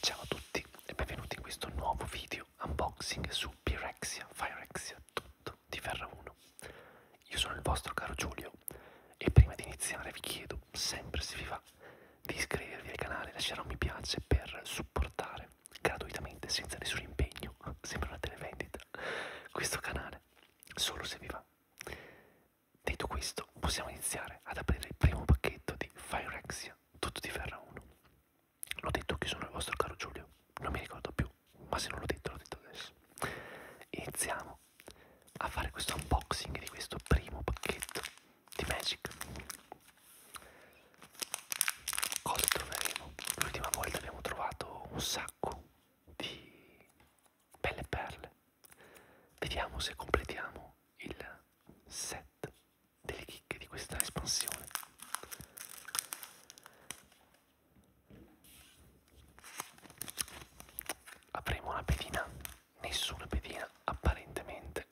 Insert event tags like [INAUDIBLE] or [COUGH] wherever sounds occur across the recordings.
Ciao a tutti e benvenuti in questo nuovo video unboxing su Pirexia, Firexia, tutto di Ferra 1. Io sono il vostro caro Giulio e prima di iniziare vi chiedo, sempre se vi va, di iscrivervi al canale, lasciare un mi piace per supportare gratuitamente, senza nessun impegno, [LAUGHS] sembra una televendita, questo canale, solo se vi va. Detto questo, possiamo iniziare ad aprire il primo pacchetto di Phyrexia, tutto di ferro 1. L'ho detto che sono il vostro caro Giulio, non mi ricordo più, ma se non l'ho detto l'ho detto adesso. Iniziamo a fare questo unboxing di questo primo pacchetto di Magic. Cosa troveremo? L'ultima volta abbiamo trovato un sacco di belle perle. Vediamo se completiamo il set delle chicche di questa espansione avremo una pedina nessuna pedina apparentemente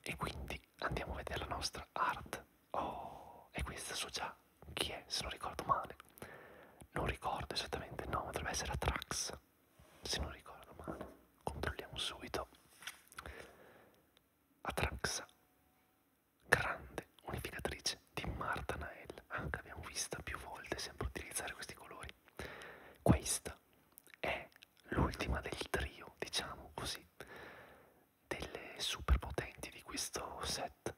e quindi andiamo a vedere la nostra art oh e questa so già chi è se non ricordo male non ricordo esattamente il nome dovrebbe essere Atrax se non ricordo male, controlliamo subito. Atraxa, grande unificatrice di Martanael, anche abbiamo vista più volte sempre utilizzare questi colori. Questa è l'ultima del trio, diciamo così, delle superpotenti di questo set.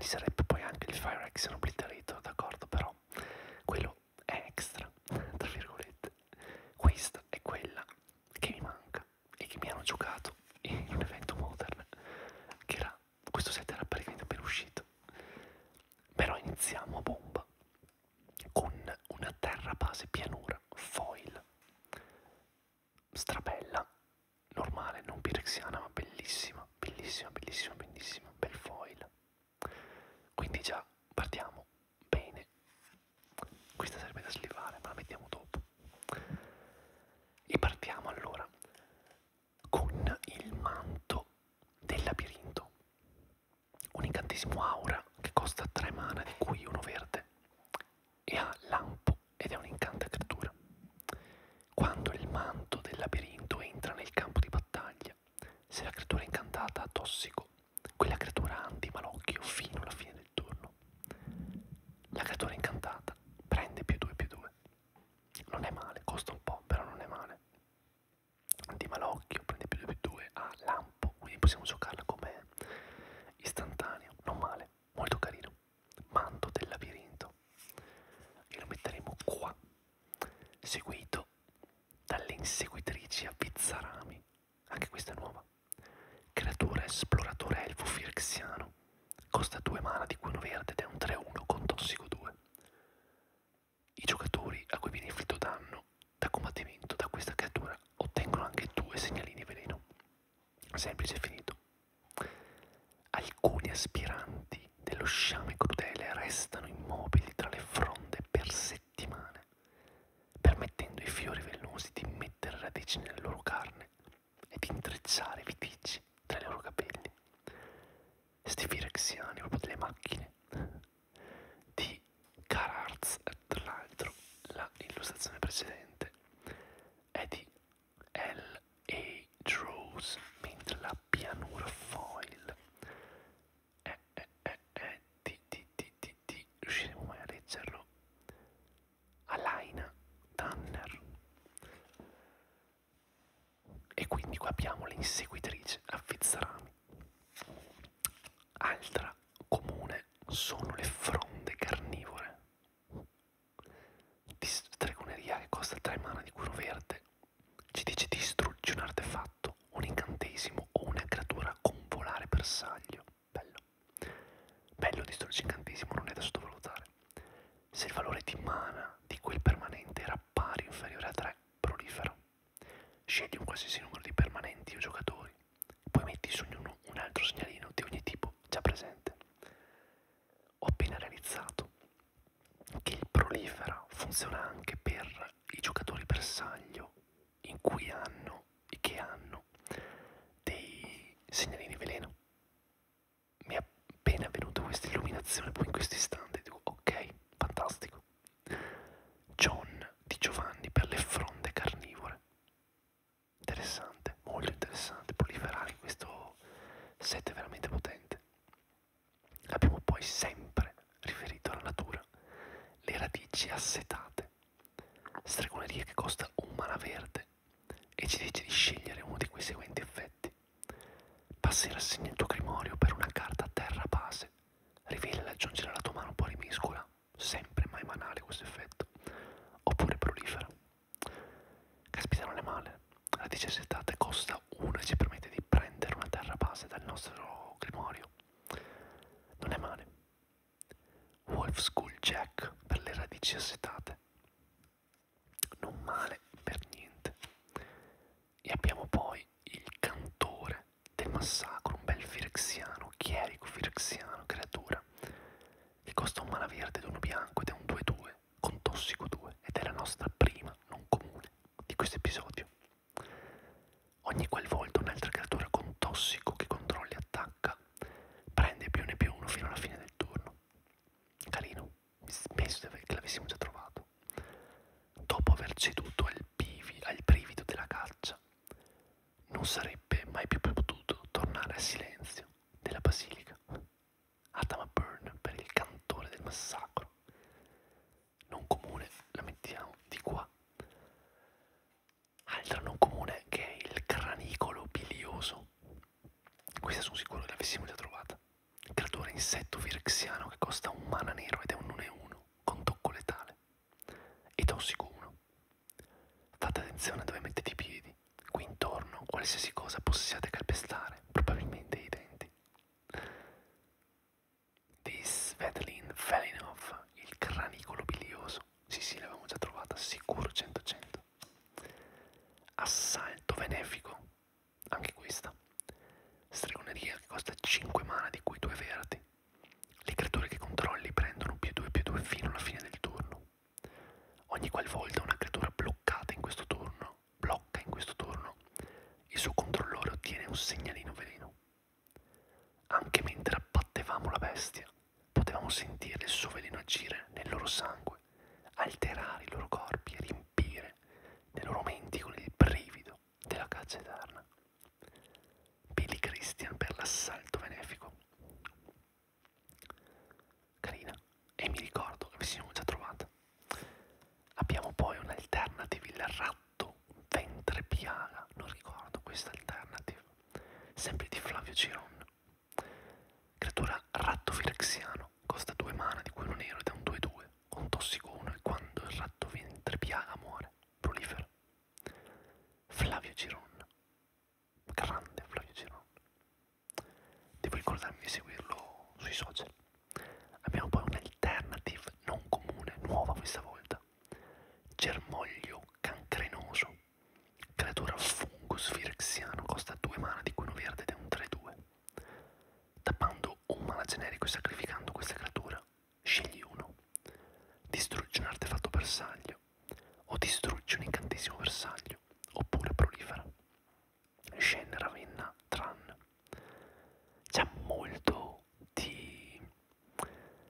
Ci sarebbe poi anche il Fire Action Obliterator, d'accordo, però quello è extra, tra virgolette. Questa è quella che mi manca e che mi hanno giocato in un evento modern, che era, questo set era praticamente appena uscito. Però iniziamo a bomba con una terra base pianura foil strabella normale non pirexiana ma bellissima bellissima bellissima bellissima bel foil quindi già partiamo bene. Questa serve da slivare, ma la mettiamo dopo. E partiamo allora con il manto del labirinto. Un incantesimo aura che costa 3 mana, di cui uno verde, e ha lampo ed è un incanta creatura. Quando il manto del labirinto entra nel campo di battaglia, se la creatura è incantata ha tossico, quella creatura anti malocchio fino alla fine del turno. La creatura incantata prende più 2 più 2. Non è male, costa un po', però non è male. Anti malocchio prende più 2 più 2 a lampo, quindi possiamo giocarla come istantaneo. Non male, molto carino. Manto del labirinto. E lo metteremo qua, seguito dalle inseguitrici a Pizzarami, anche questa è nuova. Creatura esploratore elfo firxiano, costa 2 mana di cuono verde ed è un 3-1 con tossico 2. I giocatori a cui viene inflitto danno da combattimento da questa creatura ottengono anche due segnalini veleno. Semplice e finito. Alcuni aspiranti dello sciame crudele restano immobili tra le fronde per 60 settimane, permettendo ai fiori velenosi di mettere radici nella loro carne e di intrecciare viticci tra i loro capelli. Sti firexiani, proprio delle macchine. Di Cararz, tra l'altro, la illustrazione precedente è di L.A. Draws, mentre la pianura foil eh, eh, eh, eh, di, di, di, di, di, riusciremo mai a leggerlo? Alaina Tanner. E quindi qua abbiamo l'inseguitrice a Fizzarami. Altra comune sono le fronde carnivore. Di stregoneria che costa 3 mana di culo verde ci dice distruggi un artefatto, un incantesimo o una creatura con volare bersaglio. Bello. Bello distruggi incantesimo, non è da sottovalutare. Se il valore di mana di quel permanente era pari o inferiore a 3, prolifera. Scegli un qualsiasi numero di permanenti o giocatori, poi metti su ognuno un altro segnalino di ogni tipo già presente. Ho appena realizzato che il prolifera funziona anche per i giocatori bersaglio in cui hanno e che hanno dei segnalini veleno. Mi è appena venuta questa illuminazione, poi in questo istante dico ok, fantastico. John di Giovanni per le fronde carnivore. Interessante, molto interessante, proliferare in questo set veramente potente. Abbiamo poi sempre riferito alla natura le radici assetate, stregoneria che costa un mana verde e ci dice di scegliere uno di quei seguenti effetti. Passi rassegna il tuo grimorio per una carta a terra base, rivela e aggiungere alla tua mano un po' rimiscola, sempre mai manale questo effetto, oppure prolifera. Caspita non è male, radici assetate costa 1 e ci permette di prendere una terra base dal nostro grimorio non è male. Wolf School Jack per le radici assetate. Non male per niente. E abbiamo poi il cantore del massacro, un bel firexiano, chierico firexiano, creatura, che costa un malaverde ed uno bianco ed è un 2-2 con tossico 2 ed è la nostra prima non comune di questo episodio. Ogni qual volta un'altra creatura con tossico che controlli attacca, prende più ne più uno fino alla fine del turno. Carino, penso che l'avessimo già trovato. Dopo aver ceduto al, pivi, al privido della caccia, non sarebbe mai più potuto tornare al silenzio della basilica. Adama Byrne per il cantore del massacro non comune la mettiamo di qua altra non comune che è il cranicolo bilioso questa sono sicuro che l'avessimo già trovata creatore insetto virexiano che costa un mana nero ed è un 1-1 con tocco letale e tossico 1 fate attenzione dove mettete i piedi qui intorno qualsiasi cosa possiate calpestare probabilmente i denti di Svetlin Felinov, il cranicolo bilioso. Sì, sì, l'avevamo già trovata, sicuro 100-100. Assalto benefico, anche questa. Stregoneria che costa 5 mana, di cui 2 verdi. Le creature che controlli prendono più 2 più 2 fino alla fine del turno. Ogni qualvolta una creatura bloccata in questo turno, blocca in questo turno, il suo controllore ottiene un segnalino veleno. Anche mentre abbattevamo la bestia, potevamo sentire il suo veleno agire nel loro sangue, alterare i loro corpi e riempire nei loro menti con il brivido della caccia eterna. Billy Christian per l'assalto benefico. Carina, e mi ricordo che vi siamo già trovata. Abbiamo poi un'alternative il rat gatto, ventre piaga, non ricordo questa alternative, sempre di Flavio Ciron. Creatura rattofilexiano, costa due mana di quello nero ed è un 2-2, con tossico 1 e quando il ratto ventre piaga muore, prolifera. Flavio Ciron, grande Flavio Ciron. Devo ricordarmi di seguirlo sui social. Abbiamo poi un'alternative non comune, nuova questa volta, corda, germoglio cancrenoso, creatura fungus virexiano, costa 2 mana di cui uno verde ed è un 3-2. Tappando un mana generico e sacrificando questa creatura, scegli uno. Distruggi un artefatto bersaglio, o distruggi un incantesimo bersaglio, oppure prolifera. Scene Ravenna Tran. C'è molto di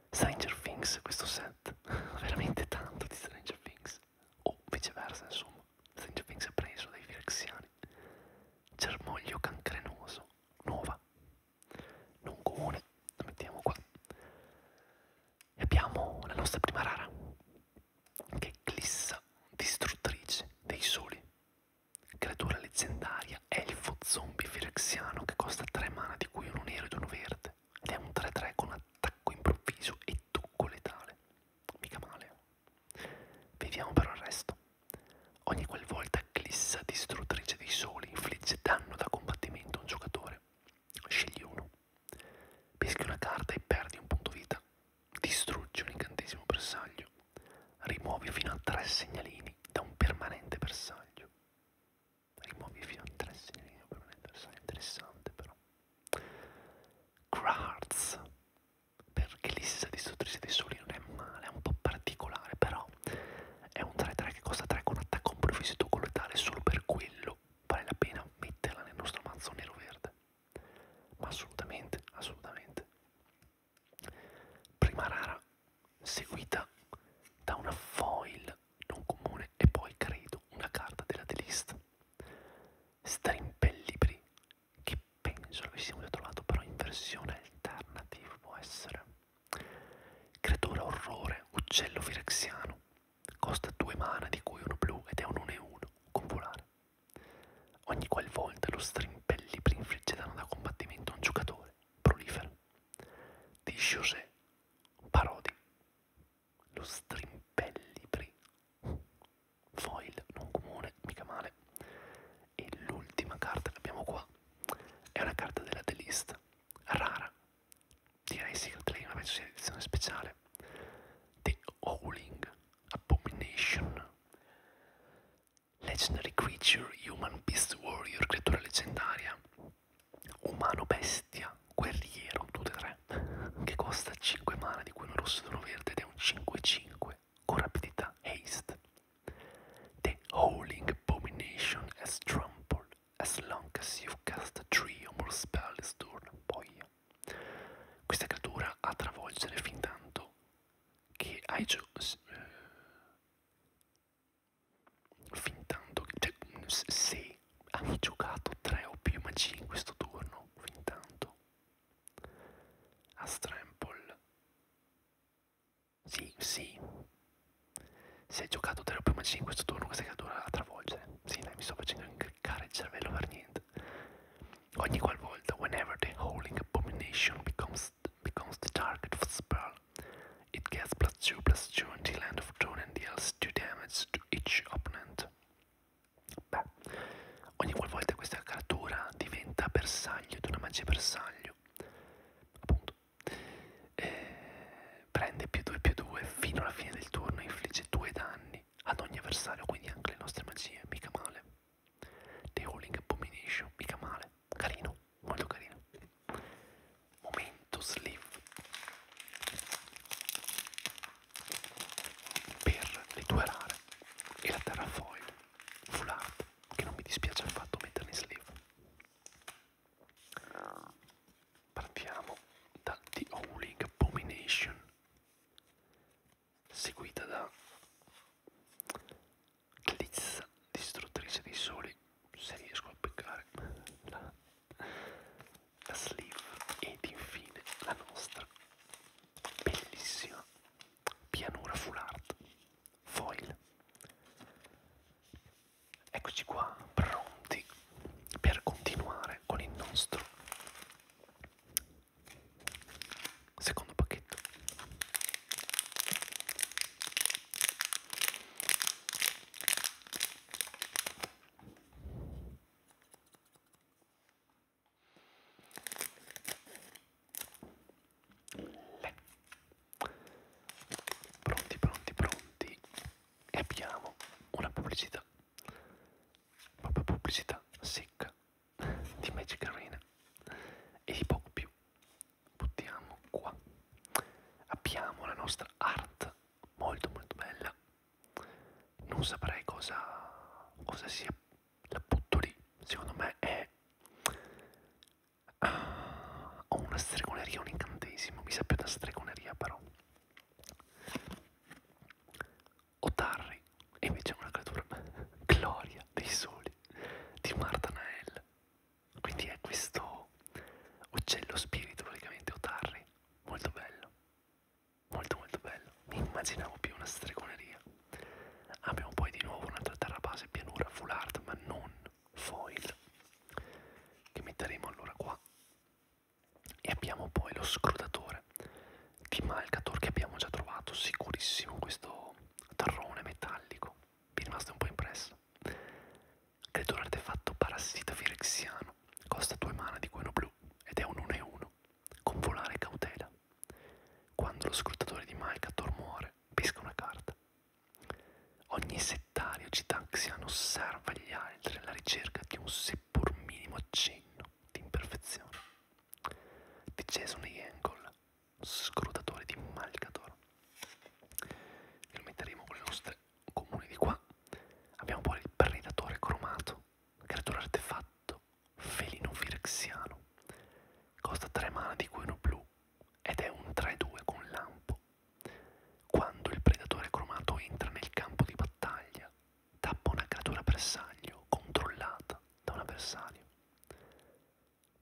Stranger Things questo set, [LAUGHS] veramente tanto di Stranger Things, o viceversa insomma, Stranger Things è preso dai firexiani. Germoglio cancrenoso, nuova, non comune, la mettiamo qua. E abbiamo la nostra prima rara, che è Clissa, distruttrice dei soli, Creatura leggendaria, elfo zombie firexiano che costa 3 mana di cui uno nero ed uno verde. Ed è un 3-3 con attacco improvviso e tocco letale. Mica male. Vediamo però il resto. Ogni qualvolta Glissa distruttrice dei soli infligge danno da combattimento a un giocatore. Scegli uno. Peschi una carta e perdi un punto vita. Distruggi un incantesimo bersaglio. Rimuovi fino a tre segnalini da un permanente bersaglio. Rimuovi fino a tre segnalini da un permanente bersaglio. Interessante però. Crarts. Perché l'Issa distruttrice dei soli non è male, è un po' particolare, però è un 3-3 che costa 3 con attacco improvviso e letale, solo per quello vale la pena metterla nel nostro mazzo nero-verde. Ma assolutamente, assolutamente prima rara seguita da una foil non comune e poi credo una carta della delist strimpellibri che penso l'avessimo già trovato però in versione alternative può essere creatura orrore uccello firexiano costa due mana di cui uno blu ed è un 1 e 1 con volare ogni qualvolta lo strimpellibri infligge danno da combattimento a un giocatore prolifera di José Parodi, lo strimpellibri, foil non comune, mica male, e l'ultima carta che abbiamo qua è una carta della The List, rara, direi Secret Lane, ma penso sia edizione speciale, The Howling Abomination, Legendary creature, human beast warrior, creatura leggendaria, umano bestia, guerriero, tutte e tre, che costa 5 mana di cui uno rosso e uno verde ed è un 5-5 con rapidità haste. The Howling Abomination has trampled as long as you cast 3 or more spells turn. Poi, questa creatura a travolgere fin tanto che hai giocato eh, fin tanto che, cioè, mm, se hai giocato 3 o più magie in questo turno, fin tanto a Strample, sì, sì, se hai giocato 3 o più magie in questo turno, questa creatura la travolge, sì, dai, mi sto facendo incriccare il cervello per niente, ogni qualvolta, whenever the howling abomination becomes, becomes the target of a spell, It gets plus 2 plus 2 until end of turn and deals 2 damage to each opponent. Beh, ogni qualvolta questa creatura diventa bersaglio di una magia bersaglio, appunto, eh, prende più 2 più 2 fino alla fine del turno e infligge 2 danni ad ogni avversario, quindi anche le nostre magie, mica male. The Rolling Abomination, mica male carino, molto carino. Momento sleeve per le due rare e la terrafoil full art che non mi dispiace affatto metterne in sleeve. Partiamo da The Howling Abomination seguita da Glitz, distruttrice dei soli, se riesco a beccare la, la sleeve ed infine la nostra bellissima pianura full art foil. Eccoci qua, pronti per continuare con il nostro secondo pacchetto le. Pronti, pronti, pronti. E abbiamo una pubblicità. Proprio pubblicità secca di Magic Arena. E di poco più buttiamo qua abbiamo la nostra art molto molto bella non saprei cosa, cosa sia la butto lì secondo me è uh, ah, o una stregoneria o un incantesimo mi sa più da stregoneria però Otarri e invece è una creatura [LAUGHS] gloria dei soli di Marta Nael quindi è questo uccello spirito praticamente, o tarri, molto bello, molto molto bello, mi immaginavo più una stregoneria. Abbiamo poi di nuovo un'altra terra base pianura full art ma non foil, che metteremo allora qua. E abbiamo poi lo scrutatore di Malcator che abbiamo già trovato, sicurissimo questo tarrone metallico, mi è rimasto un po' impresso. Credo un artefatto parassita firexiano. Costa 2 mana di gueno blu ed è un 1 e 1. Con volare cautela. Quando lo scrutatore di Maikator muore, pesca una carta. Ogni settario citanxiano osserva gli altri alla ricerca di un seppur minimo accenno di imperfezione. Di Jason Yangle scrutatore di Malcator e lo metteremo con le nostre comuni di qua abbiamo poi il predatore cromato creatura artefatto felino firexiano costa 3 mana di cui uno blu ed è un 3-2 con lampo quando il predatore cromato entra nel campo di battaglia tappa una creatura bersaglio controllata da un avversario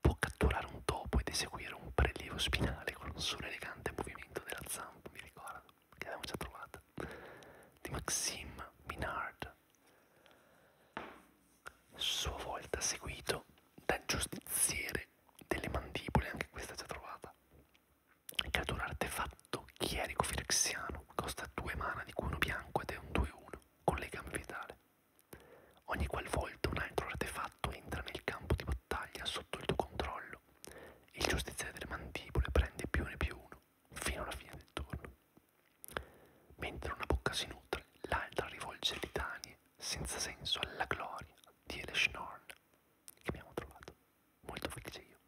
può catturare un topo ed eseguire un prelievo spinale con un solo elegante movimento della zampa, mi ricordo, che abbiamo già trovata, di Maxime Minard, sua volta seguito dal giustiziere delle mandibole, anche questa già trovata, creatura artefatto chierico firexiano, costa 2 mana di cui uno bianco ed è un 2-1, con legame vitale. Ogni qualvolta un altro artefatto entra nel campo di battaglia sotto il tuo controllo, il giustiziere delle mandibole prende più ne più uno, fino alla fine del turno. Mentre una bocca si nutre, l'altra rivolge litanie senza senso alla gloria di Eleshnorn, che abbiamo trovato. Molto felice io.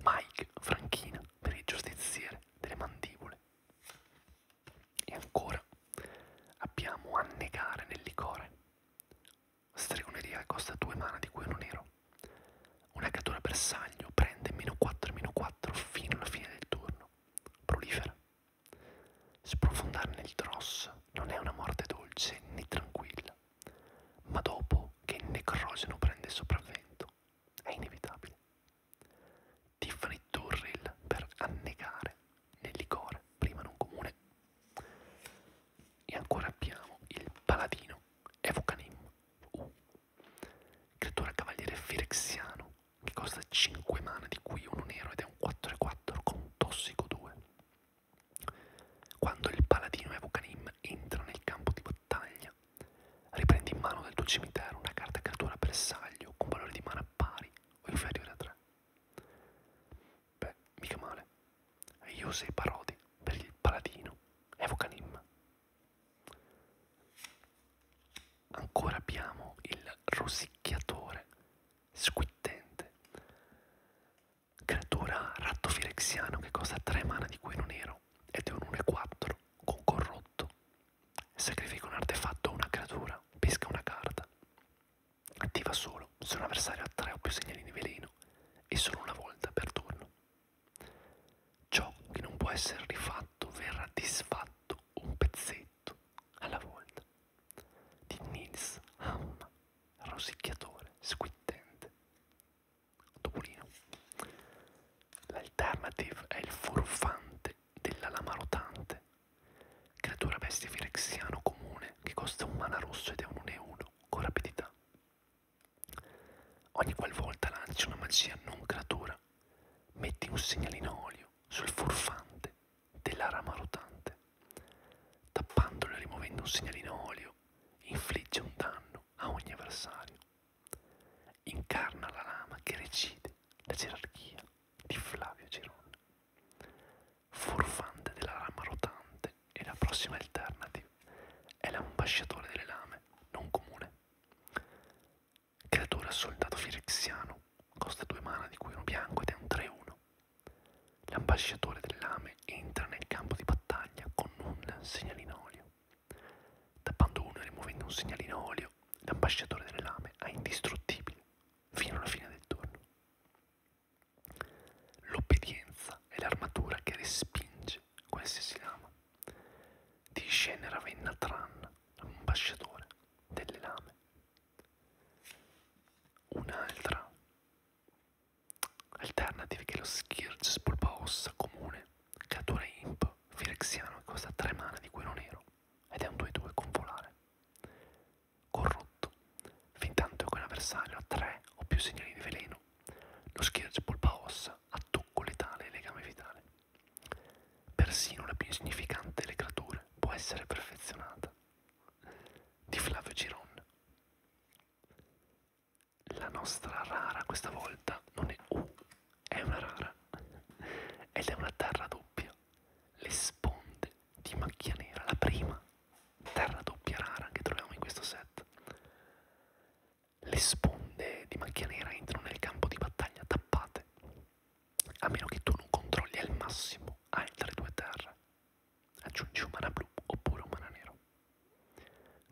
Mike Franchina per il giustiziere delle mandibole. E ancora abbiamo annegare nel licore. Stregoneria costa 2 mana di cui uno nero. Una cattura bersaglio prende meno 4 meno 4 fino alla fine del turno. Prolifera. Sprofondare nel dross non è una morte dolce né tranquilla, ma dopo che il necrogeno prende sopravvento è inevitabile di Fritturril per annegare nel licore prima non comune. E ancora abbiamo il paladino Evocanim U, uh, creatura cavaliere firexiano che costa 5 mana di cui uno nero ed è un 4-4 con tossico 2. Quando il paladino Evocanim entra nel campo di battaglia, riprendi in mano dal tuo cimitero una carta creatura bersaglio con valore di mana pari o inferiore a 3. Beh, mica male. Yusei Parodi per il Paladino. Evocanim. Ancora abbiamo il rosicchiatore squittente. Creatura rattofirexiano che costa 3 mana di cui non ero ed è un 1-4 con corrotto. Sacrifica un artefatto o una creatura, pesca una carta. Attiva solo se un avversario ha tre o più segnali di veleno e solo una volta per turno. Ciò che non può essere rifatto verrà disfatto un pezzetto alla volta. Di Nils Ham, rosicchiatore, squittente. Topolino. L'alternative è il furfante della lama rotante Creatura bestia firexiano comune che costa un mana rosso ed è un 1-1 con rapidità. Ogni qualvolta lanci una magia non creatura, metti un segnalino olio sul furfante della rama rotante. Tappandolo e rimuovendo un segnalino olio, infligge un danno a ogni avversario. Incarna la rama che recide la gerarchia di Flavio Girone. Furfante della rama rotante e la prossima alternative è l'ambasciatore delle lame, non comune. Creatura soldato firexiano, costa due mana di cui uno bianco ed è un 3-1. L'ambasciatore delle lame entra nel campo di battaglia con un segnalino olio. Tappando uno e rimuovendo un segnalino olio, l'ambasciatore delle lame è indistruttibile fino alla fine del turno. L'obbedienza è l'armatura che respinge qualsiasi lama. Discende Ravenna Tran, ambasciatore delle lame. Un'altra alternativa che è lo Scourge Spolpaossa comune, cattura imp, firexiano che costa 3 mana di quello nero ed è un 2-2 con volare corrotto, fintanto che un avversario ha tre o più segnali di veleno, lo schiaccia polpa ossa a tocco letale e legame vitale. Persino la più insignificante delle creature può essere perfezionata. Di Flavio Giron. La nostra rara questa volta non è U, è una rara ed è una terra doppia. Le sponde di macchia nera, la prima terra doppia rara che troviamo in questo set. Le sponde di macchia nera entrano nel campo di battaglia tappate, a meno che tu non controlli al massimo altre due terre. Aggiungi un mana blu oppure un mana nero.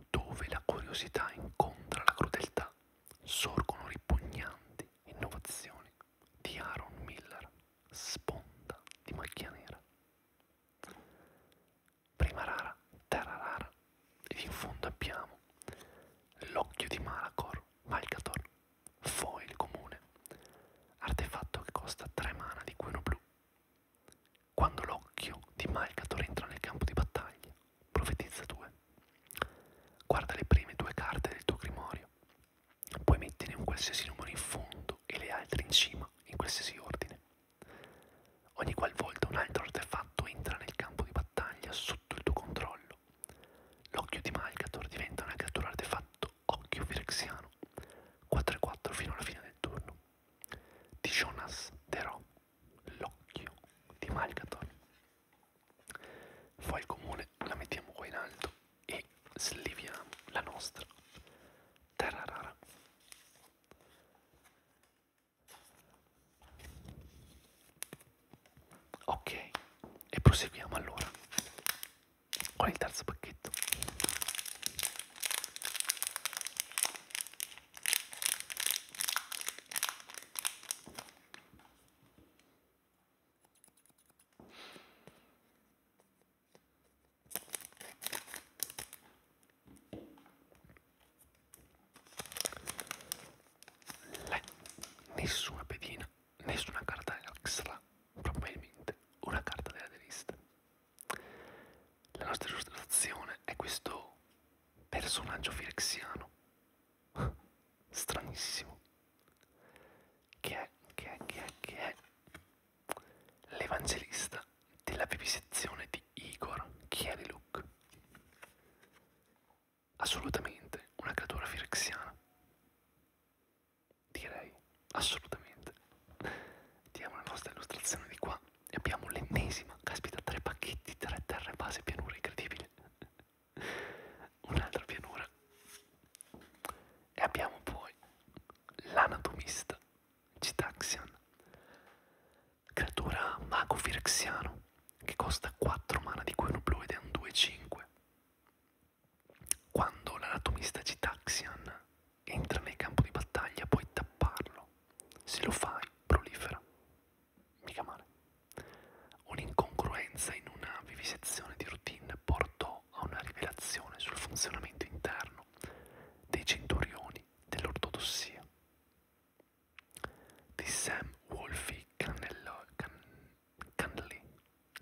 Dove la curiosità incontra la crudeltà, sorgono ripugnanti innovazioni di Aaron Miller sponda di macchia nera. Prima rara, terra rara, ed in fondo abbiamo l'occhio di Malacor, Malcator, foil comune, artefatto che costa 3 mana di cuoio blu. Quando l'occhio di Malcator entra nel campo di battaglia, profetizza 2. Guarda le prime due carte del tuo grimorio puoi metterne un qualsiasi numero in fondo e le altre in cima, in qualsiasi ordine. Ogni qualvolta un altro artefatto entra nel campo di battaglia sotto il tuo controllo, l'occhio di Malcator diventa una creatura artefatto occhio firexiano, 4 e 4 fino alla fine del turno. Di Jonas Derò, l'occhio di Malcator. Poi il comune la mettiamo qua in alto e sliviamo la nostra terra rara. Ok, e proseguiamo allora con il terzo pacchetto. Lei, nessuna pedina, nessuna carta extra, probabilmente una carta della rivista. La nostra illustrazione è questo personaggio firexiano [LAUGHS] stranissimo che è, che è, che è, che è l'evangelista della vivisezione di Igor Kieliluk. Assolutamente una creatura firexiana. Direi, assolutamente. Diamo la nostra illustrazione di qua e abbiamo l'ennesima, caspita, tre pacchetti, tre terre base pianura incredibile. [LAUGHS] un'altra pianura e abbiamo poi l'anatomista Citaxian, creatura mago firexiano che costa 4 mana di cui uno blu ed è un 2-5. Quando l'anatomista Citaxian entra nel campo di battaglia puoi tapparlo, se lo fai prolifera, mica male. Un'incongruenza in una vivisezione di routine Ren portò a una rivelazione sul funzionamento interno dei centurioni dell'ortodossia. Di Sam Wolfe Cannello, Can, Candley,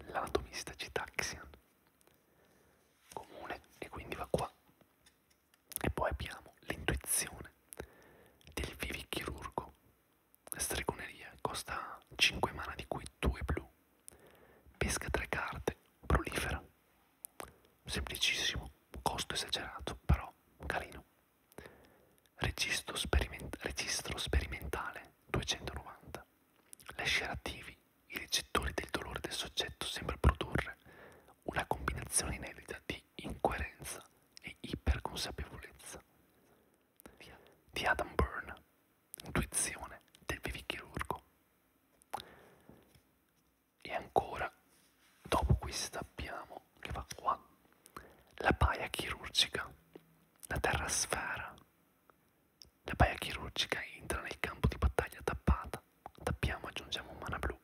l'anatomista Citaxian. Comune, e quindi va qua. E poi abbiamo l'intuizione del vivichirurgo Stregoneria costa 5 mana di cui 2 blu. Pesca 3 carte, prolifera. Semplicissimo, costo esagerato, però carino. Registro, speriment registro sperimentale 290. Lasciare attivi i recettori del dolore del soggetto sembra produrre una combinazione inedita di incoerenza e iperconsapevolezza di Adam Byrne, intuizione del vivichirurgo. E ancora, dopo questa abbiamo, che va qua, la paia chirurgica, la terrasfera. La paia chirurgica entra nel campo di battaglia tappata, tappiamo aggiungiamo un mana blu,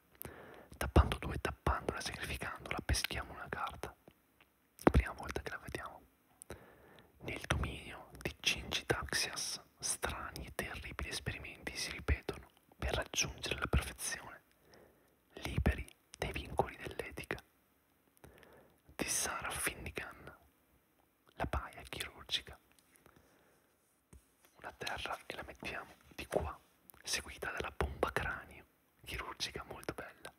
tappando due, tappandola, sacrificandola, peschiamo una carta prima volta che la vediamo, nel dominio di Cingitaxias strani e terribili esperimenti si ripetono per raggiungere la perfezione, liberi dai vincoli dell'etica. Di Sarah Finnigan, la paia chirurgica. Una terra e la mettiamo di qua, seguita dalla bomba cranio, chirurgica molto bella.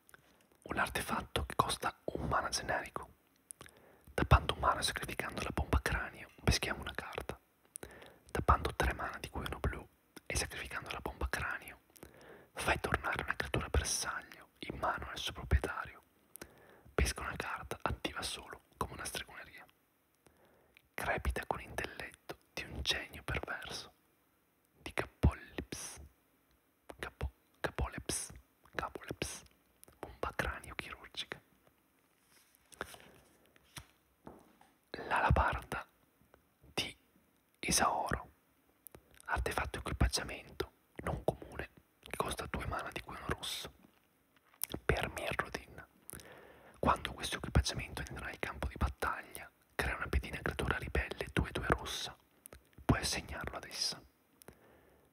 Un artefatto che costa un mana generico Tappando un mana sacrificando la bomba cranio, peschiamo una carta. Tappando tre mana di cui uno blu e sacrificando la bomba cranio, fai tornare una creatura bersaglio in mano al suo proprietario. Pesca una carta attiva solo come una stregoneria. Crepita con intelletto di un genio perverso. Di Capollips capo, capoleps, capoleps, bomba cranio chirurgica. L'alabarda di Isaoro, artefatto equipaggiamento non comune che costa due mana di guino rosso per Mirrodin. Quando questo equipaggiamento entrerà in campo di battaglia, crea una pedina creatura ribelle 2-2 rossa, puoi assegnarlo ad essa.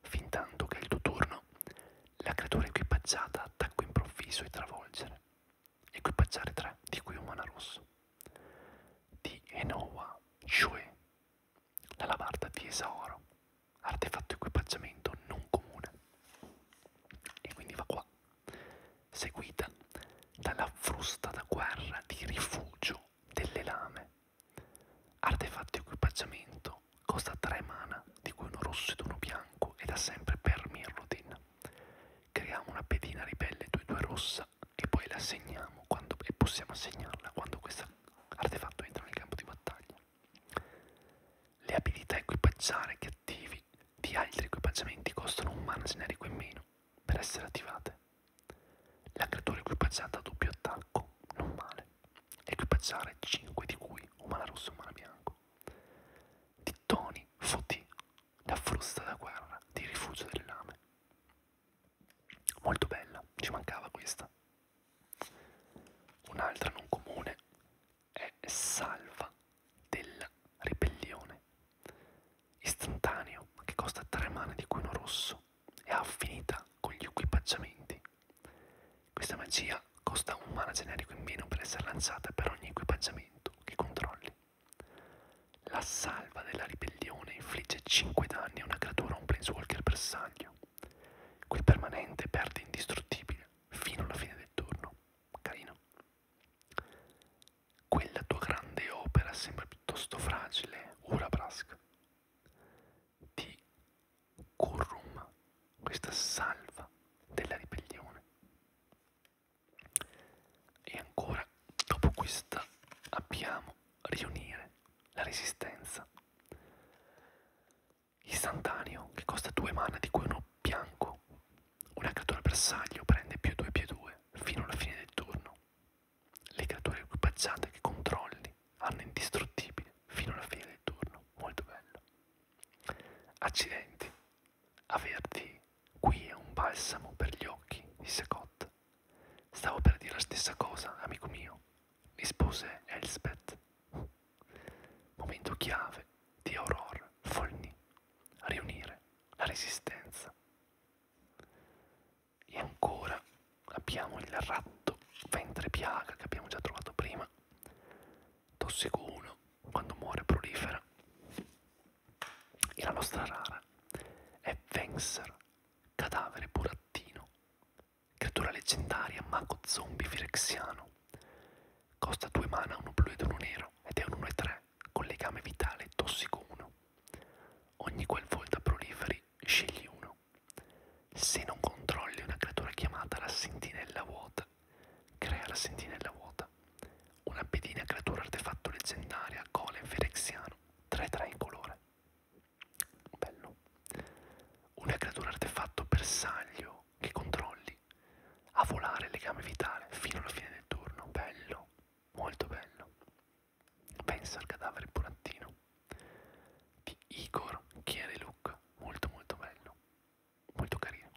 Fin tanto che il tuo turno, la creatura equipaggiata attacco improvviso e travolgere. Equipaggiare 3, di cui un mana rosso. Di Enowa Shue, cioè la labarda di Esaoro, artefatto equipaggiamento non comune. E quindi va qua, seguita dalla frusta da guerra di rifugio delle lame Artefatto equipaggiamento costa 3 mana, di cui uno rosso ed uno bianco, ed ha sempre per Mirrodin. Creiamo una pedina ribelle 2-2 rossa e poi la assegniamo quando, e possiamo assegnarla quando questo artefatto entra nel campo di battaglia. Le abilità equipaggiare che attivi di altri equipaggiamenti costano un mana generico in meno per essere attivate. L'aggredore equipaggiata a doppio attacco, non male. Equipaggiare 5 di cui umana rosso e umana bianco. Di Tony Foti, la frusta da guerra di rifugio delle lame. Molto bella, ci mancava questa. Un'altra non comune è Salva della ribellione. Istantaneo che costa 3 mani di cuino rosso e ha finita con gli equipaggiamenti. Questa magia costa un mana generico in meno per essere lanciata per ogni equipaggiamento che controlli. La salva della ribellione infligge 5 danni a una creatura o un planeswalker bersaglio. Quel permanente perde indistruttibile fino alla fine del turno. Carino. Quella tua grande opera sembra piuttosto fragile, Urabrask di Kurrum, questa salva della ribellione. E ancora, dopo questa, abbiamo riunire la resistenza. Istantaneo, che costa 2 mana, di cui uno bianco. Una creatura bersaglio prende più 2 più 2 fino alla fine del turno. Le creature equipaggiate che controlli hanno indistruttibile fino alla fine del turno. Molto bello. Accidenti. Averti qui è un balsamo per gli occhi, disse Cott. Stavo per dire la stessa cosa, amico mio, rispose Elspeth. Momento chiave di Aurora Folni. Riunire la resistenza e ancora abbiamo il ratto ventre piaga che abbiamo già trovato prima tossico 1 quando muore prolifera e la nostra rara è Venser cadavere burattino creatura leggendaria mago zombie virexiano costa 2 mana 1 blu ed 1 nero ed è un 1 e 3 con legame vitale tossico 1 ogni qual volta proliferi scegli uno se non controlli una creatura chiamata la sentinella vuota, crea la sentinella vuota. Una pedina creatura artefatto leggendaria, golem ferexiano, 3-3 in colore. Bello. Una creatura artefatto bersaglio che controlli a volare legame vitale fino alla fine del turno. Bello, molto bello. Pensa al cadavere burattino di Igor Kiereluk, molto molto bello, molto carino.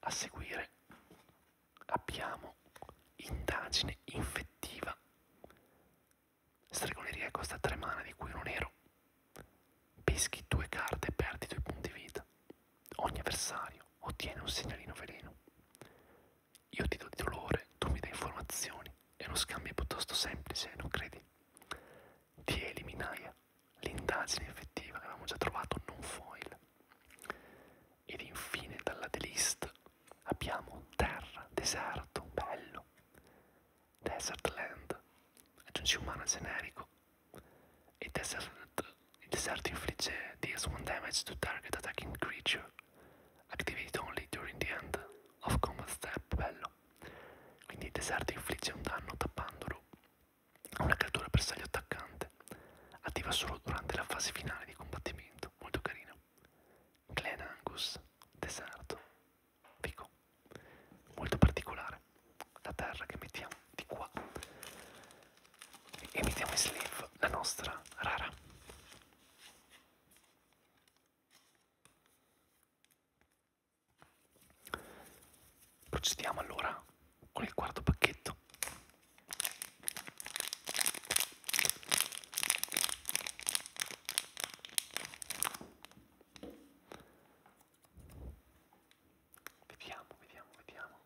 A seguire abbiamo Indagine infettiva, stregoneria costa tre mana di cui uno nero, peschi due carte e perdi due punti vita. Ogni avversario ottiene un segnalino veleno. Io ti do di dolore, tu mi dai informazioni, è uno scambio piuttosto semplice, non credi? Ti eliminai l'indagine effettiva che avevamo già trovato non foil. Ed infine dalla delist abbiamo terra, deserto, bello, desert land, aggiungi umano generico, e desert, il deserto infligge deals one damage to target attacking creature Activate only during the end of combat step, bello. Quindi il deserto infligge un danno tappandolo a una creatura bersaglio attaccante. Attiva solo durante la fase finale di combattimento, molto carino. Clan Angus, deserto, fico, molto particolare. La terra che mettiamo di qua e mettiamo in slave la nostra rara. Procediamo allora con il quarto pacchetto. Vediamo, vediamo, vediamo.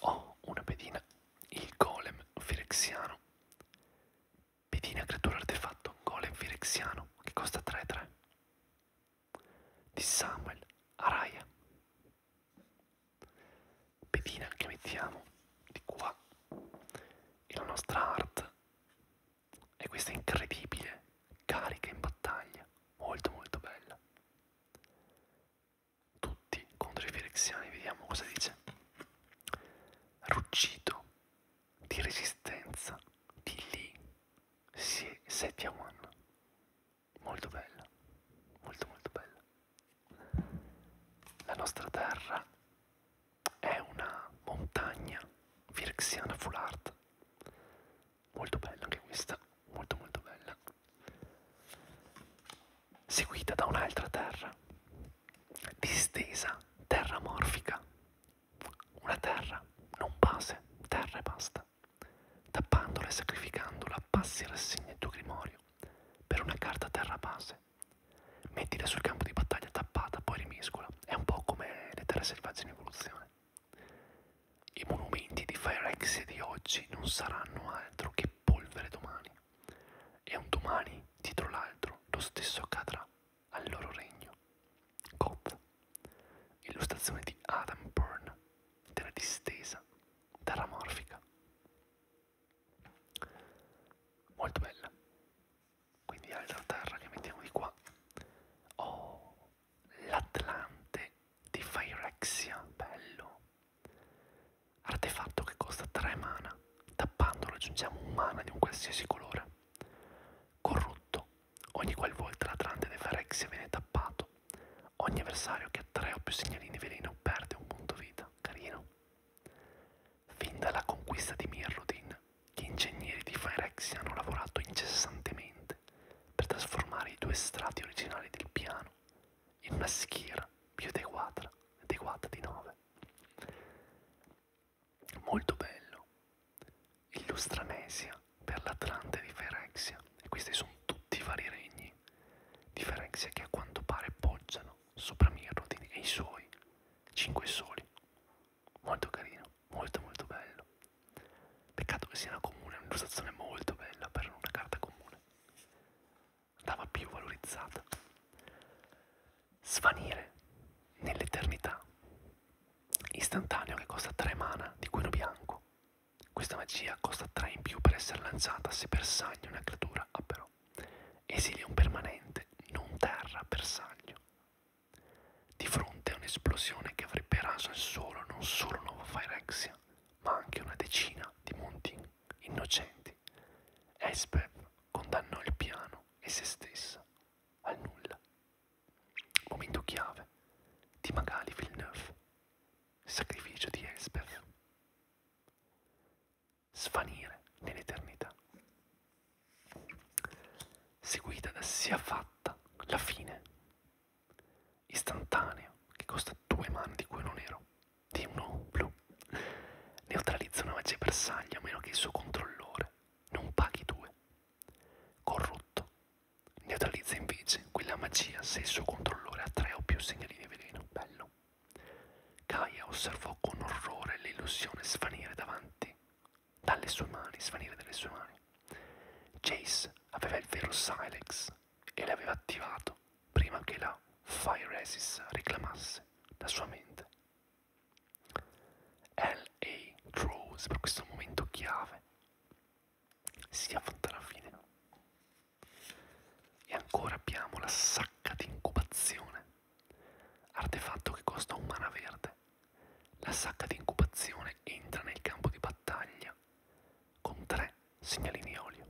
Ho una pedina, il golem firexiano. Pedina creatura artefatto, golem firexiano, che costa 3-3. Di Samuel Araya. Pedina che mettiamo di qua. E la nostra art e questa è incredibile, carica in battaglia, molto molto bella. Tutti contro i firexiani, vediamo cosa dice. Ruggito di resistenza di lì si è 7 a 1. Molto bella, molto molto bella. La nostra terra è una montagna virxiana full art molto bella anche questa molto molto bella seguita da un'altra terra distesa terra morfica una terra non base terra e basta tappandola e sacrificandola passi rassegna il tuo grimorio per una carta terra base mettila sul campo di battaglia tappata poi rimescola piccola, è un po' come le terre selvagge in evoluzione. I monumenti di Firex di oggi non saranno altro che polvere domani, e un domani dietro l'altro lo stesso accadrà al loro regno. Cop, illustrazione di Adam Byrne della distesa terramorfica. Molto bella quindi altra terra che mettiamo di qua oh l'atlante di Phyrexia bello artefatto che costa 3 mana tappandolo aggiungiamo un mana di un qualsiasi colore corrotto ogni qualvolta l'atlante di Phyrexia viene tappato ogni avversario che ha 3 o più segnalini veleno perde un punto vita carino fin dalla conquista di Mirrodin gli ingegneri di Firex hanno lavorato incessantemente per trasformare i due strati originali del piano in una schiera più adeguata, adeguata di 9. Molto bello. Illustranesia per l'Atlante di Ferexia. E questi sono tutti i vari regni di Ferexia che a quanto pare poggiano sopra Mirrodin e i suoi, cinque soli, molto carino, molto molto bello. Peccato che sia una comune, un'illustrazione molto bella per una carta comune. Andava più valorizzata. Svanire nell'eternità. Istantaneo che costa 3 mana di quello bianco. Questa magia costa 3 in più per essere lanciata se bersaglia una creatura, ah però. Esilia un permanente, non terra, bersaglio. Di fronte a un'esplosione che avrebbe raso al suolo non solo Nuova Phyrexia, ma anche una decina di monti innocenti, Esbeb condannò il piano e se stessa al nulla. Momento chiave di Magali Villeneuve, sacrificio di Esbeb. Svanire nell'eternità seguita da sia fatta la fine, istantaneo, che costa due mani di cui uno nero, di uno blu, neutralizza una magia bersaglia a meno che il suo controllore non paghi due. Corrotto, neutralizza invece quella magia se il suo controllore ha tre o più segnalini veleno, bello. Gaia osservò con orrore l'illusione svanire davanti dalle sue mani, svanire dalle sue mani. Jace aveva il vero Silex e l'aveva attivato prima che la Fire Resist reclamasse la sua mente. L.A. Rose per questo momento chiave si affronta alla fine. E ancora abbiamo la sacca di incubazione, artefatto che costa un mana verde la sacca di incubazione entra nel campo di battaglia con tre segnalini olio.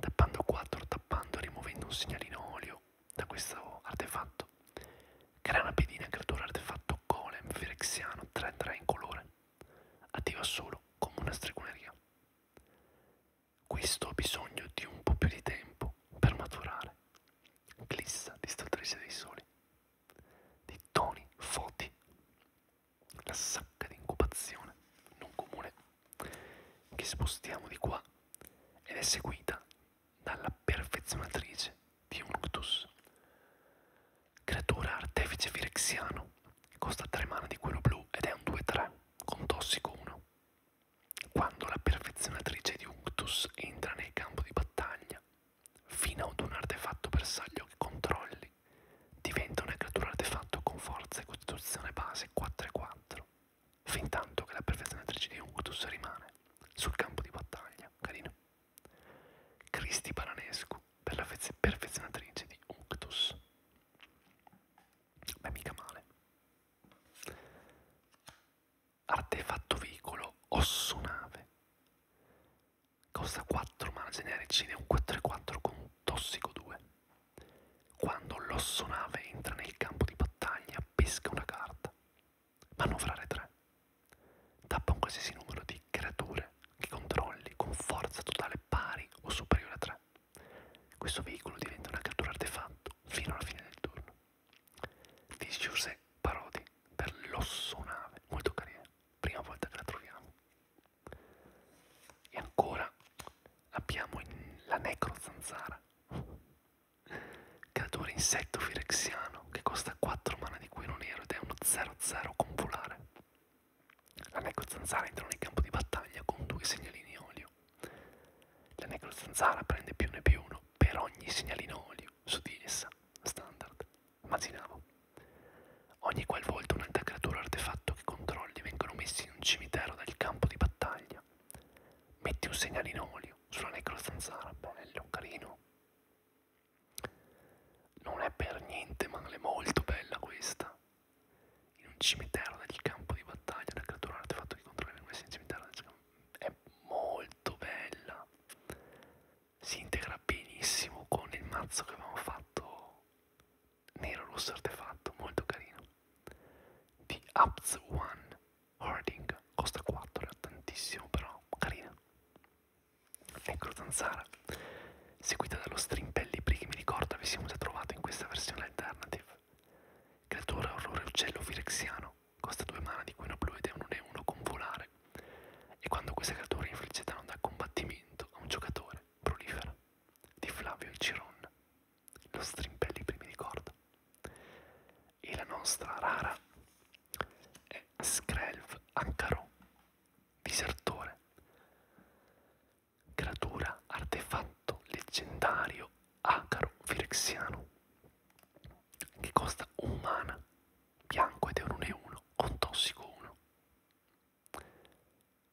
Tappando 4, tappando e rimuovendo un segnalino olio da questo artefatto, crea una pedina creatura artefatto golem firexiano 3-3 in colore, attiva solo come una stregoneria. Questo ha bisogno di un po' più di tempo per maturare. Glissa, distruttrice dei soli di Tony Foti, la sacca di incubazione non comune, che spostiamo di qua ed è seguita dalla perfezionatrice di un Unctus, creatura artefice virexiano, costa 3 mana di quello blu ed è un 2-3 con tossico 1. Quando la perfezionatrice di Unctus entra nel campo di battaglia, fino ad un artefatto bersaglio che controlli. Diventa una creatura artefatto con forza e costituzione base 4 e 4, fin tanto che la perfezionatrice di Unctus rimane sul campo di battaglia. Carino. Cristi Baranescu per la perfezionatrice di Unctus. Beh, mica male artefatto veicolo osso nave. Costa 4 mana generici ed è un 4-4 con un tossico 2. Quando l'osso nave entra nel campo di battaglia, pesca una carta. Manovrare 3. Tappa un qualsiasi numero di creature che controlli con forza totale pari o superiore a 3. Questo veicolo diventa una creatura artefatto fino alla fine del turno di Giuseppe Parodi per l'ossonave, molto carina, prima volta che la troviamo. E ancora abbiamo la necrozanzara, creatore insetto firexiano che costa 4 mana di cuoio nero ed è uno 0-0 con volare. La necrozanzara entra nel campo di battaglia con due segnalini olio. La necrozanzara prende più ne più uno per ogni segnalino olio su di essa, standard, immaginavo. Ogni qualvolta un'altra creatura o artefatto che controlli vengono messi in un cimitero del campo di battaglia. Metti un segnalino olio sulla necrostanzara, ah, bello, carino. Non è per niente male, molto bella questa. In un cimitero del campo di battaglia, una creatura o artefatto che controlli vengono messi in un cimitero del campo. È molto bella si integra benissimo con il mazzo che avevamo fatto nero rosso artefatto molto carino di Apts One Harding costa 4 è tantissimo però carina ecco zanzara seguita dallo strimpellibri che mi ricorda avessimo già trovato in questa versione alternative creatura orrore uccello firexiano costa 2 mana di cui una blu ed è un 1-1 con volare e quando questa creatura infligge danno da combattimento a un giocatore prolifera di Flavio Ciron lo strimpelli primi di corda e la nostra rara è Skrelv Ancaro Disertore creatura artefatto leggendario Acaro Firexiano che costa un mana bianco ed è un 1-1 con tossico 1.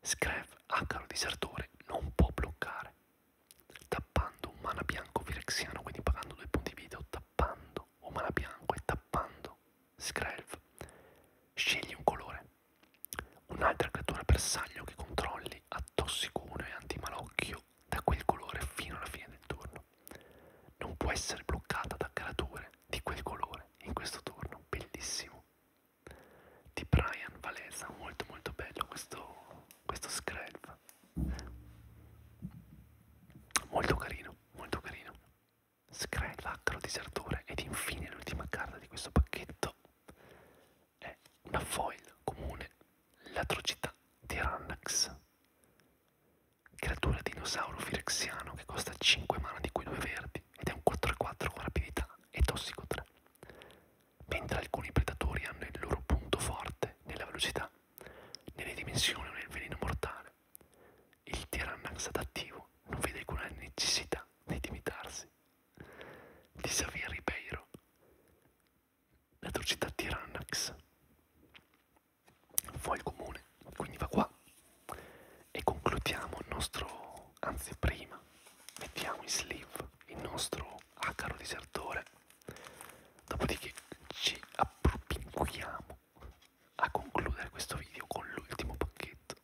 Screv, Acaro Disertore, non può bloccare, tappando un mana bianco Virexiano, quindi pagando 2 punti vita o tappando un mana bianco e tappando Screv. Scegli un colore, un'altra creatura bersaglio che controlli a tossico 1 e antimalocchio da quel colore fino alla fine del turno. Non può essere bloccata da creature di quel colore in questo turno, bellissimo. Di Brian Valesa, molto molto bello questo, questo scrap. Molto carino, molto carino. Scrap, laccaro, disertore ed infine l'ultima carta di questo pacchetto è una foil comune, l'atrocità di Rannax creatura dinosauro firexiano che costa 5 mana di cui 2 verdi ed è un 4-4 con rapidità e tossico 3. Mentre alcuni predatori hanno il loro punto forte nella velocità, nelle dimensioni o nel veleno mortale, il Tyrannax adattivo non vede alcuna necessità di limitarsi. Di Xavier Ribeiro, l'atrocità Tyrannax fa il comune, quindi va qua e concludiamo il nostro, anzi prima, mettiamo in sleeve il nostro acaro disertore, dopodiché ci appropinquiamo a concludere questo video con l'ultimo pacchetto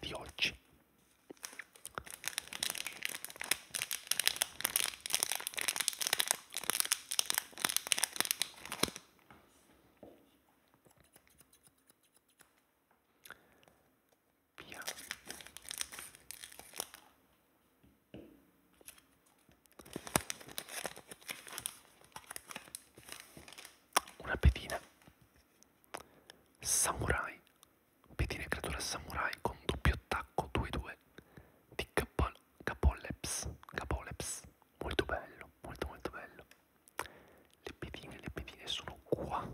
di oggi. Via. Una pedina samurai, pedina creatura samurai con doppio attacco 2-2 di KO Capoleps, Capoleps, molto bello, molto molto bello. Le pedine, le pedine sono qua.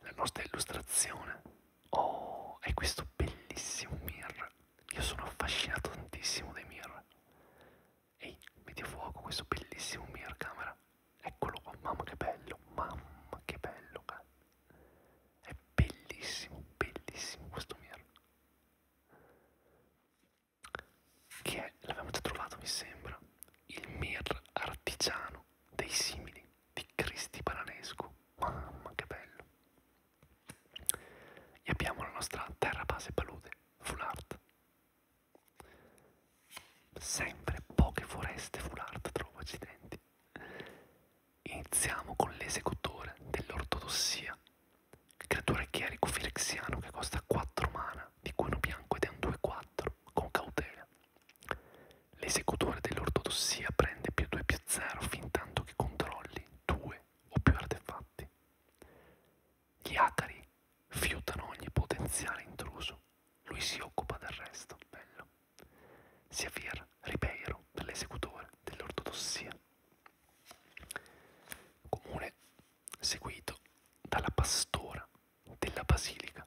La nostra illustrazione. Oh, è questo bellissimo mirror. Io sono affascinato tantissimo dai mirror. Ehi, metti a fuoco questo bellissimo mirror camera. Eccolo qua, mamma che bello, mamma che bello. È bellissimo, bellissimo questo mirror che è, l'avevamo già trovato mi sembra, il mir artigiano dei simili di Cristi Paranescu. Mamma che bello! E abbiamo la nostra terra base palude, full art. Sempre poche foreste full art, trovo accidenti. Iniziamo con l'esecutore dell'ortodossia, creatura chierico filexiano che costa 4 mana, di cui uno bianco ed è un 2-4, con cautela. L'esecutore dell'ortodossia prende più 2 più 0 fin tanto che controlli 2 o più artefatti. Gli acari fiutano ogni potenziale intruso, lui si occupa del resto, bello. Siafir Ribeiro dell'esecutore dell'ortodossia comune seguito dalla pastora della basilica,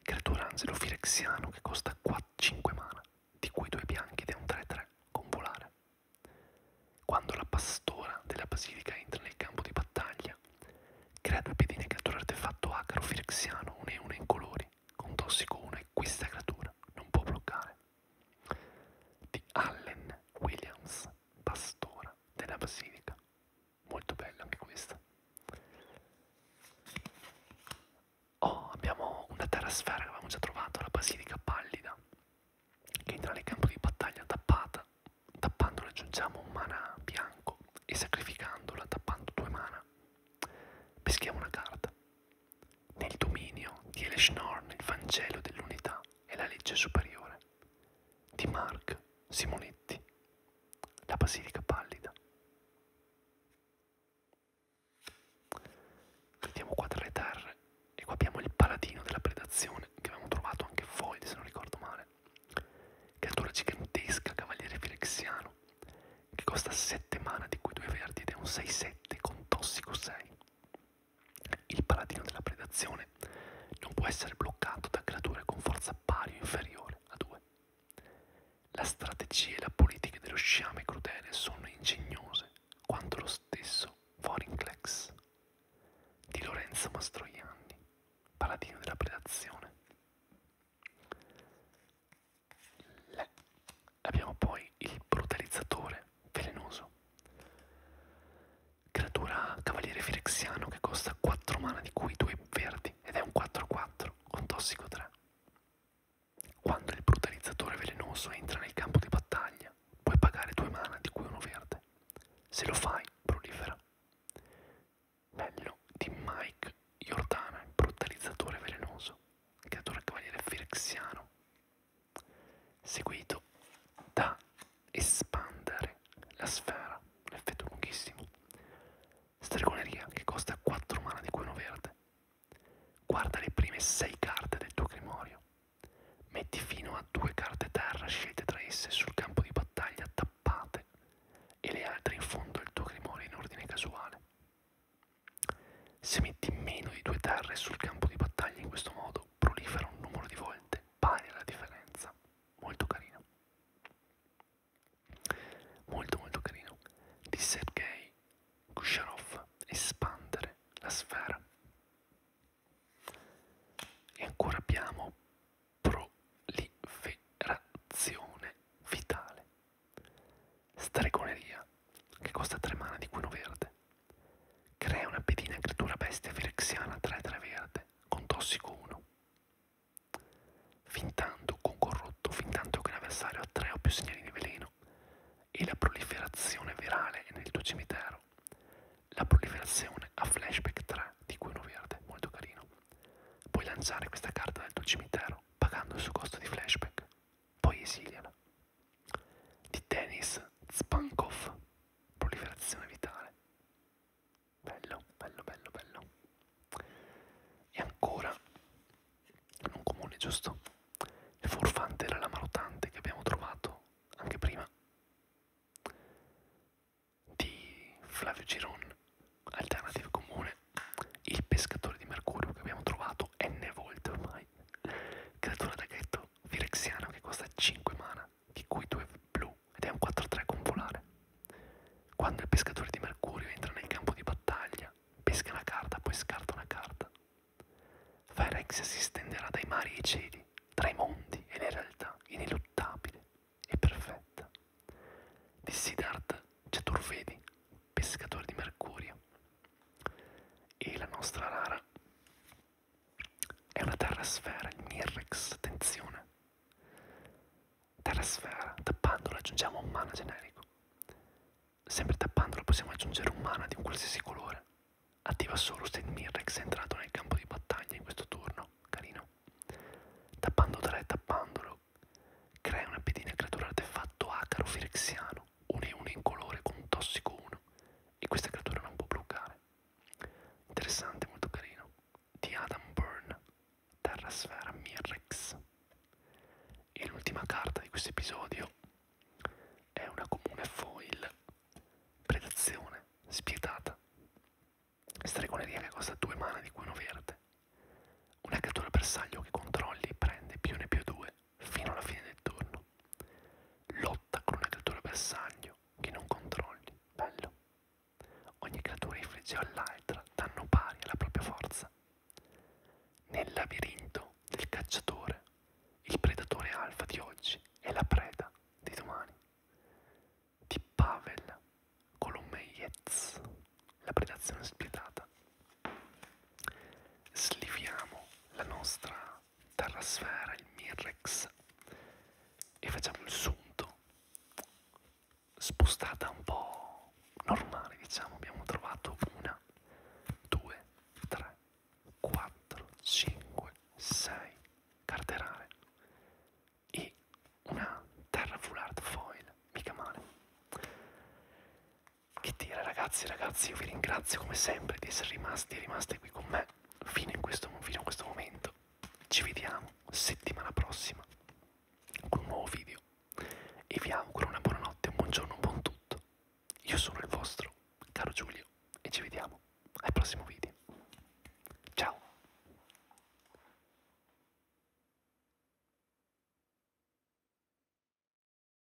creatura anzelofirexiano che costa 5 mana, di cui due bianchi ed è un 3-3 con volare. Quando la pastora della basilica entra nel campo di battaglia, crea due pedine creatura artefatto acaro firexiano, 1 e 1 incolori, con tossico 1 e questa creatura non può bloccare di Allen Williams, pastora della basilica. Molto bella anche questa. Oh, abbiamo una terrasfera che avevamo già trovato, la basilica pallida, che entra nel campo di battaglia tappata. Tappando aggiungiamo un mana bianco e sacrificandola tappando due mana peschiamo una carta nel dominio di Elesnorn il Vangelo dell'unità e la legge superiore, di Mark Simonetti, la Basilica Pallida. Vediamo qua tra le terre e qua abbiamo il paladino della predazione che avevamo trovato anche Void se non ricordo male, creatura gigantesca, cavaliere filexiano, che costa 7 mana di cui 2 verdi ed è un 6-7 con tossico 6. Il paladino della predazione non può essere bloccato da creature con forza pari o inferiore a 2. La strategia e la politica dello sciame crudele sono ingegnose quanto lo stesso Vorinclex di Lorenzo Mastroianni, paladino della predazione. Abbiamo poi il brutalizzatore velenoso, creatura cavaliere firexiano che costa 4 mana di cui 2 verdi ed è un 4-4 con tossico 3. Quando il brutalizzatore velenoso entra nel campo di battaglia, puoi pagare 2 mana di cui uno verde. Se lo fai, prolifera. Bello di Mike Jordana, il brutalizzatore velenoso, creatura cavaliere firexiano seguito da espandere la sfera, un effetto lunghissimo, stregoneria che costa 4 mana di cuono verde, guarda le prime 6 carte del tuo grimorio, metti fino a 2 carte terra scelte tra esse sul campo di battaglia tappate e le altre in fondo al tuo grimorio in ordine casuale. Se metti meno di due terre sul campo di battaglia in questo modo, prolifera un numero di volte pari alla differenza. Molto carino. Molto molto carino. Di Sergei Kusharov, espandere la sfera. E ancora abbiamo proliferazione vitale. Stregoneria, che costa 3 mana di 1 verde. Crea una pedina creatura bestia firexiana 3-3 verde, con tossico 1. Fintando con corrotto, fintanto che l'avversario ha 3 o più segnali di veleno e la proliferazione virale è nel tuo cimitero. La proliferazione ha flashback 3 di cui uno verde, molto carino. Puoi lanciare questa carta dal tuo cimitero pagando il suo costo di flashback, poi esiliala di Denis Spankov, proliferazione vitale. Bello, bello, bello, bello. E ancora, non comune, giusto? Il furfante era la marotante che abbiamo trovato anche prima di Flavio Giron, alternativa comune, il pescatore di mercurio che abbiamo trovato giocato n volte ormai. Creatura da ghetto Firexiana che costa 5 mana, di cui 2 blu ed è un 4-3 con volare. Quando il pescatore di Mercurio entra nel campo di battaglia, pesca una carta, poi scarta una carta. Firex si stenderà dai mari ai cieli, tra i mondi e le realtà, ineluttabile e perfetta. Di Siddharth Chaturvedi, pescatore di Mercurio, e la nostra rara è una terrasfera, il Mirrex, attenzione. Terrasfera, tappandolo aggiungiamo un mana generico. Sempre tappandolo possiamo aggiungere un mana di un qualsiasi colore. Attiva solo se il Mirrex è entrato nel campo di battaglia in questo turno, carino. Tappando 3, tappandolo, crea una pedina creatura artefatto acaro firexiano esistono, un e uno incolore con un tossico 1 e questa creatura non può bloccare. Interessante, molto carino. Di Adam Byrne, Terrasfera Mirrex. E l'ultima carta di questo episodio è una comune foil, predazione spietata. Stregoneria che costa 2 mana di cui uno verde. Una creatura bersaglio che controlli prende più ne più 2 fino alla fine del turno. Lotta con una creatura bersaglio che non controlli. Bello. Ogni creatura infligge all'altra danno pari alla propria forza. Nel labirinto del cacciatore, il predatore alfa di oggi è la preda di domani. Di Pavel Kolomeyets, la predazione spietata sliviamo la nostra terrasfera, il Mirrex, e facciamo il sunto spostata un po' normale, diciamo. Abbiamo trovato una, due, tre, quattro, cinque, sei carterare e una terra full art foil, mica male. Che dire ragazzi, ragazzi, io vi ringrazio come sempre di essere rimasti e rimaste qui con me fino, in questo, fino a questo momento. Ci vediamo settimana prossima con un nuovo video e vi auguro una buona notte, un buongiorno, un buon tutto. Io sono il vostro, caro Giulio, e ci vediamo al prossimo video. Ciao!